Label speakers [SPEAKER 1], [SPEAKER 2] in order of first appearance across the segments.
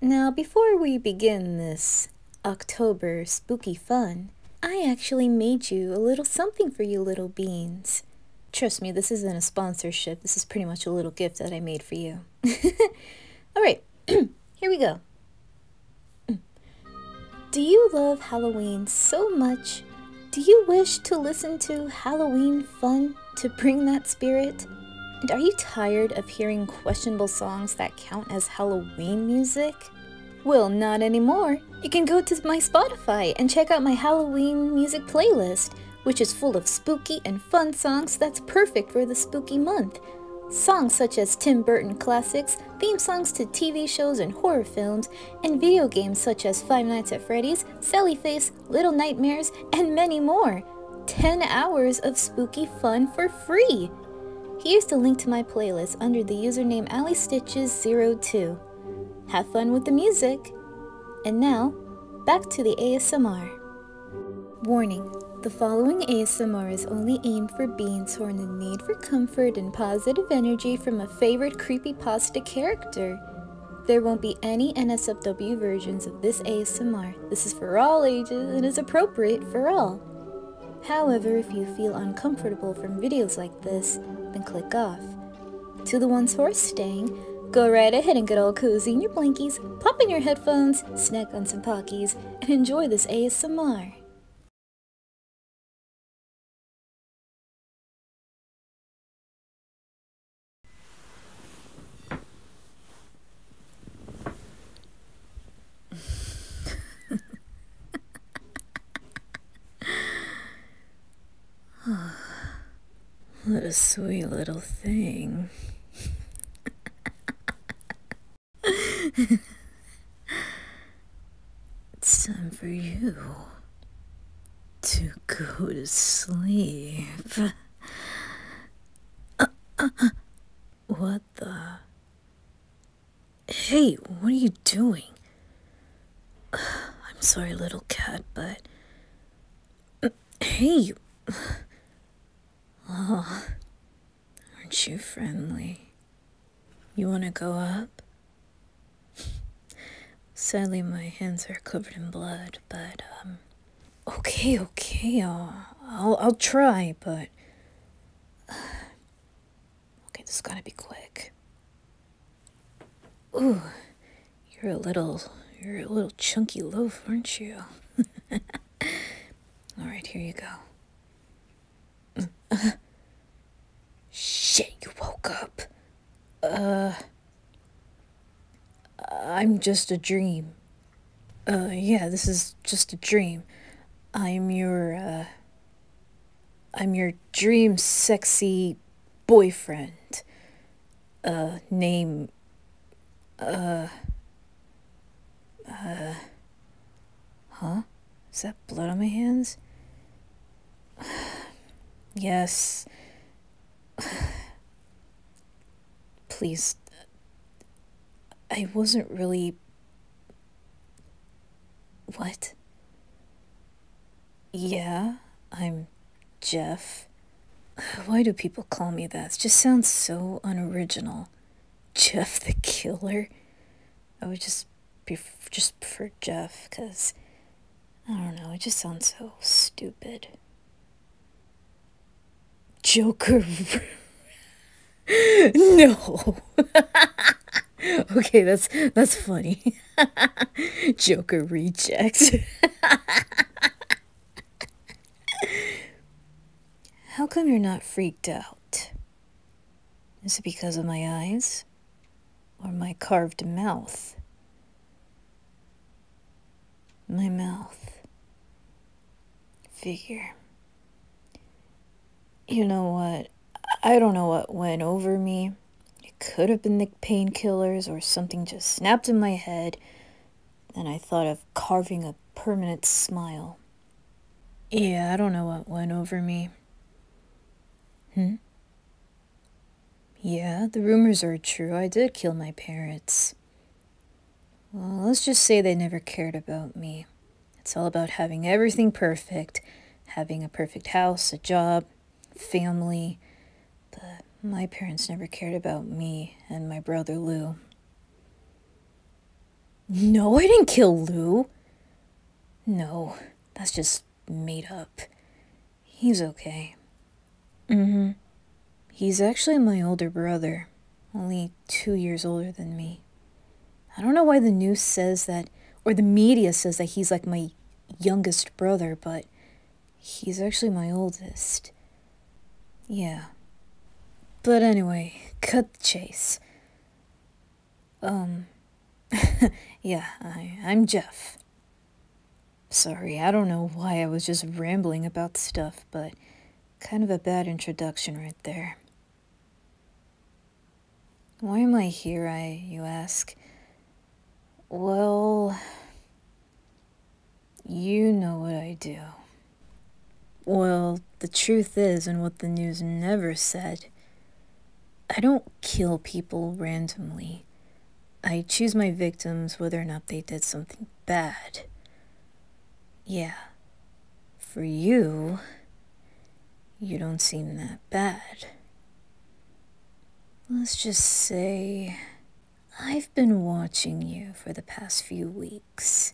[SPEAKER 1] Now, before we begin this October spooky fun, I actually made you a little something for you little beans. Trust me, this isn't a sponsorship. This is pretty much a little gift that I made for you. All right, here we go. Do you love Halloween so much? Do you wish to listen to Halloween fun to bring that spirit? And are you tired of hearing questionable songs that count as Halloween music? Well, not anymore. You can go to my Spotify and check out my Halloween music playlist, which is full of spooky and fun songs that's perfect for the spooky month. Songs such as Tim Burton classics, theme songs to TV shows and horror films, and video games such as Five Nights at Freddy's, Sally Face, Little Nightmares, and many more. 10 hours of spooky fun for free! Here's the link to my playlist under the username AlleyStitches02. Have fun with the music! And now, back to the ASMR. Warning, the following ASMR is only aimed for beings who are in need for comfort and positive energy from a favorite creepy pasta character. There won't be any NSFW versions of this ASMR. This is for all ages and is appropriate for all. However, if you feel uncomfortable from videos like this, then click off. To the ones who are staying, go right ahead and get all cozy in your blankies, pop in your headphones, snack on some Pockies, and enjoy this ASMR. what a sweet little thing. it's time for you to go to sleep what the? Hey, what are you doing? I'm sorry, little cat, but. Hey! aren't you friendly? You want to go up? Sadly, my hands are covered in blood, but, um, Okay, okay, uh, I'll, I'll try, but... okay, this gotta be quick. Ooh, you're a little, you're a little chunky loaf, aren't you? Alright, here you go. Shit, you woke up. Uh... I'm just a dream. Uh, yeah, this is just a dream. I'm your, uh, I'm your dream sexy boyfriend. Uh, name, uh, uh, huh? Is that blood on my hands? yes, Please. I wasn't really. What? Yeah, I'm Jeff. Why do people call me that? It just sounds so unoriginal. Jeff the Killer? I would just be just for Jeff, because. I don't know, it just sounds so stupid. Joker. no. okay, that's that's funny. Joker rejects. How come you're not freaked out? Is it because of my eyes? Or my carved mouth? my mouth figure. You know what? I don't know what went over me. It could have been the painkillers or something just snapped in my head, and I thought of carving a permanent smile. Yeah, I don't know what went over me. Hmm? Yeah, the rumors are true. I did kill my parents. Well, let's just say they never cared about me. It's all about having everything perfect, having a perfect house, a job, family. But my parents never cared about me and my brother Lou. No, I didn't kill Lou. No, that's just made up. He's okay. Mm hmm. He's actually my older brother, only two years older than me. I don't know why the news says that, or the media says that he's like my youngest brother, but he's actually my oldest. Yeah. But anyway, cut the chase. Um, yeah, I, I'm Jeff. Sorry, I don't know why I was just rambling about stuff, but kind of a bad introduction right there. Why am I here, I you ask? Well, you know what I do. Well, the truth is, and what the news never said, I don't kill people randomly. I choose my victims whether or not they did something bad. Yeah. For you, you don't seem that bad. Let's just say I've been watching you for the past few weeks,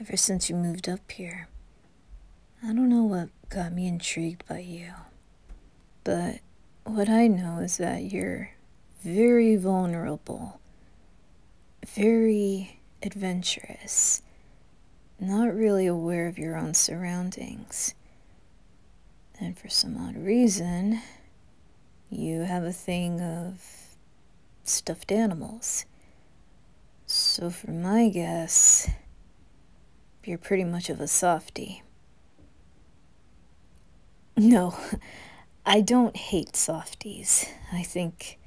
[SPEAKER 1] ever since you moved up here. I don't know what got me intrigued by you. But what I know is that you're very vulnerable, very adventurous, not really aware of your own surroundings. And for some odd reason, you have a thing of stuffed animals. So, for my guess, you're pretty much of a softie. No, I don't hate softies. I think.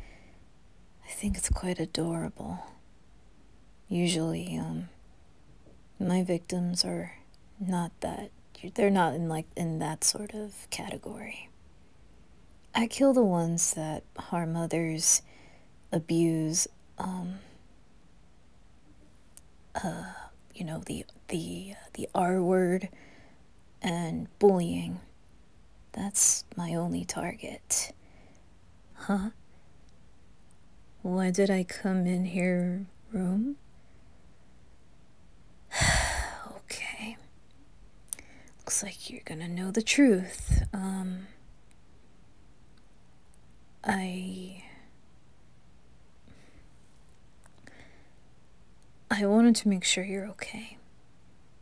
[SPEAKER 1] I think it's quite adorable. Usually, um, my victims are not that. They're not in like in that sort of category. I kill the ones that harm others, abuse, um, uh, you know the the the R word and bullying. That's my only target. Huh? Why did I come in here room? okay. Looks like you're gonna know the truth. Um I I wanted to make sure you're okay.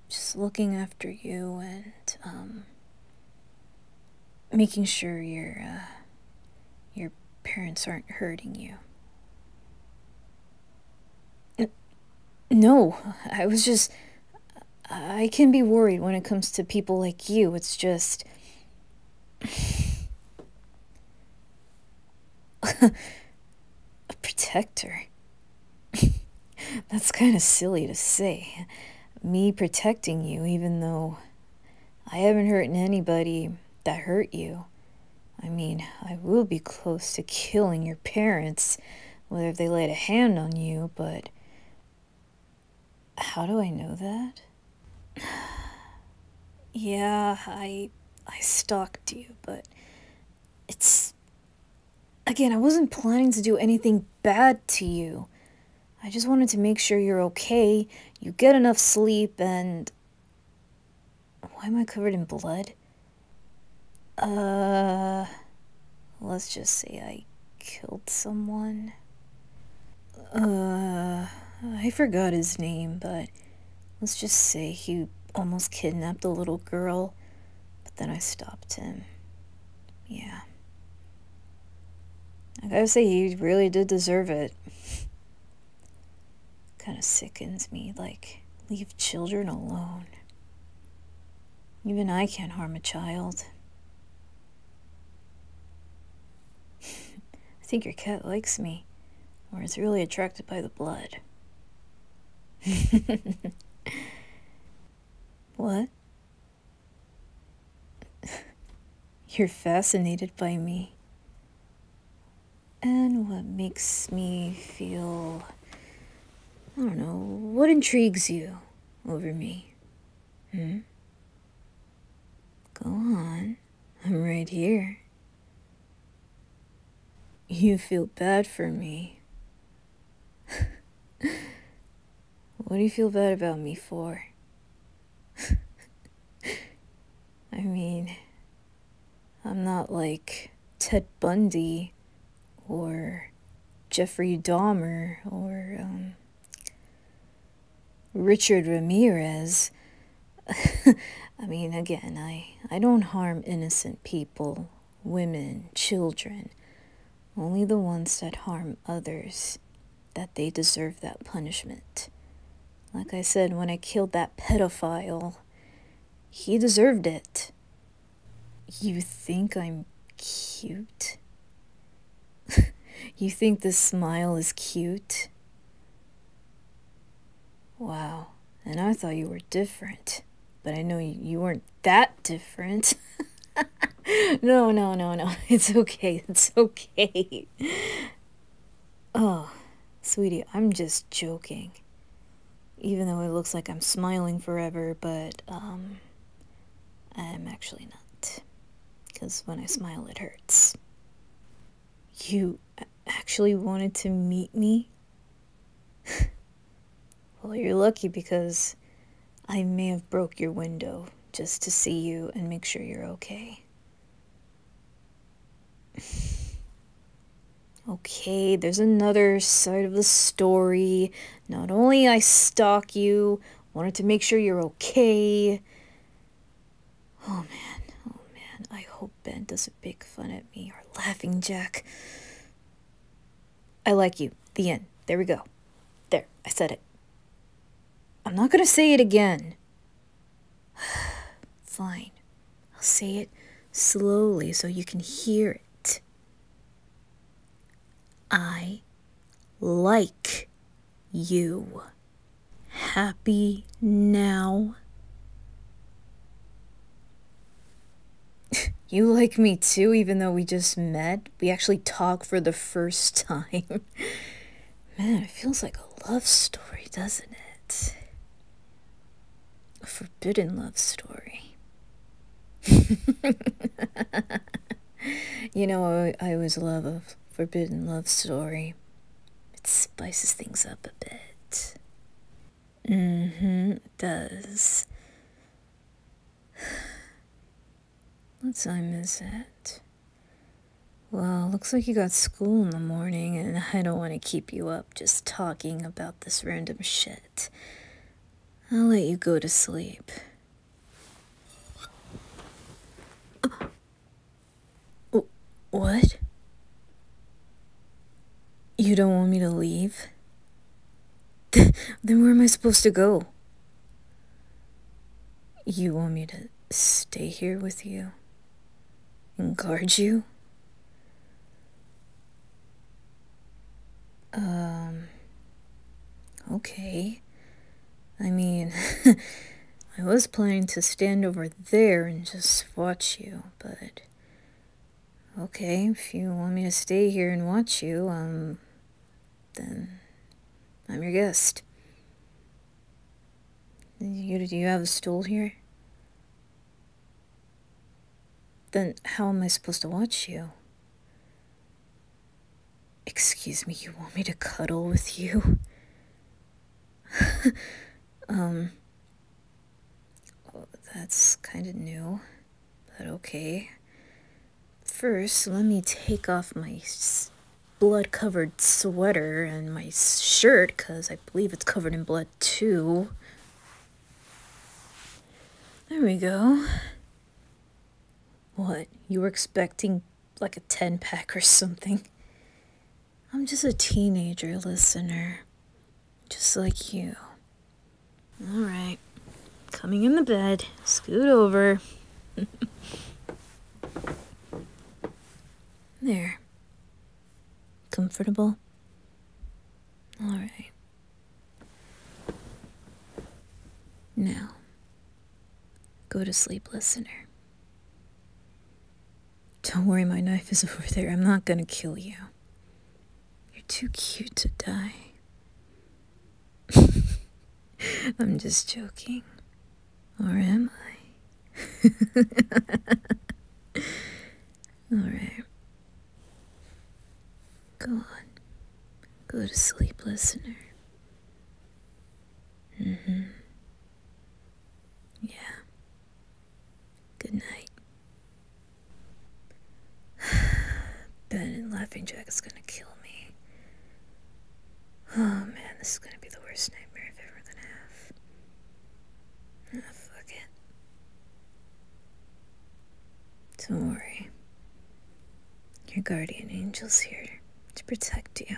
[SPEAKER 1] Just looking after you and, um, making sure your, uh, your parents aren't hurting you. No, I was just. I can be worried when it comes to people like you. It's just. a protector? That's kind of silly to say. Me protecting you, even though I haven't hurt anybody that hurt you. I mean, I will be close to killing your parents, whether they laid a hand on you, but. How do I know that? yeah, I I stalked you, but it's again, I wasn't planning to do anything bad to you. I just wanted to make sure you're okay, you get enough sleep, and why am I covered in blood? Uh, let's just say I killed someone. Uh, I forgot his name, but let's just say he almost kidnapped a little girl, but then I stopped him. Yeah. I gotta say, he really did deserve it. kind of sickens me, like, leave children alone. Even I can't harm a child. I think your cat likes me, or is really attracted by the blood. what? You're fascinated by me. And what makes me feel. I don't know, what intrigues you over me? Hmm? Go on. I'm right here. You feel bad for me. what do you feel bad about me for? I mean, I'm not like Ted Bundy or Jeffrey Dahmer or, um, Richard Ramirez. I mean, again, I, I don't harm innocent people, women, children, only the ones that harm others, that they deserve that punishment. Like I said, when I killed that pedophile, he deserved it. You think I'm cute? you think this smile is cute? Wow, and I thought you were different, but I know you weren't that different. no, no, no, no, it's okay, it's okay. oh, sweetie, I'm just joking. Even though it looks like I'm smiling forever, but, um, I'm actually not. Because when I smile, it hurts. You actually wanted to meet me? well, you're lucky because I may have broke your window just to see you and make sure you're okay. okay, there's another side of the story. Not only I stalk you, wanted to make sure you're okay, Oh man, oh man, I hope Ben doesn't make fun at me or laughing Jack. I like you. The end. There we go. There, I said it. I'm not gonna say it again. Fine. I'll say it slowly so you can hear it. I like you happy now? you like me too, even though we just met? We actually talk for the first time. Man, it feels like a love story, doesn't it? A forbidden love story. you know, I, always love a forbidden love story. It spices things up a bit. Mm-hmm, it does. What time is it? Well, looks like you got school in the morning, and I don't want to keep you up just talking about this random shit. I'll let you go to sleep. Uh, what? You don't want me to leave? then where am I supposed to go? You want me to stay here with you? And guard you? Um. Okay. I mean, I was planning to stand over there and just watch you, but... Okay, if you want me to stay here and watch you, um... Then... I'm your guest. do you have a stool here? Then how am I supposed to watch you? Excuse me, you want me to cuddle with you? um. that's kind of new, but okay. First, let me take off my blood covered sweater and my shirt, because I believe it's covered in blood too. There we go. What? You were expecting like a 10 pack or something. I'm just a teenager listener, just like you. Alright, coming in the bed, scoot over. there. Comfortable? Alright. Now, Go to sleep, listener. Don't worry, my knife is over there. I'm not gonna kill you. You're too cute to die. I'm just joking. Or am I? Alright. Go on. Go to sleep, listener. Mm-hmm. Yeah. Good night. ben and Laughing Jack is gonna kill me. Oh man, this is gonna be the worst nightmare I've ever gonna ah, have. fuck it. Don't worry your guardian angels here to protect you.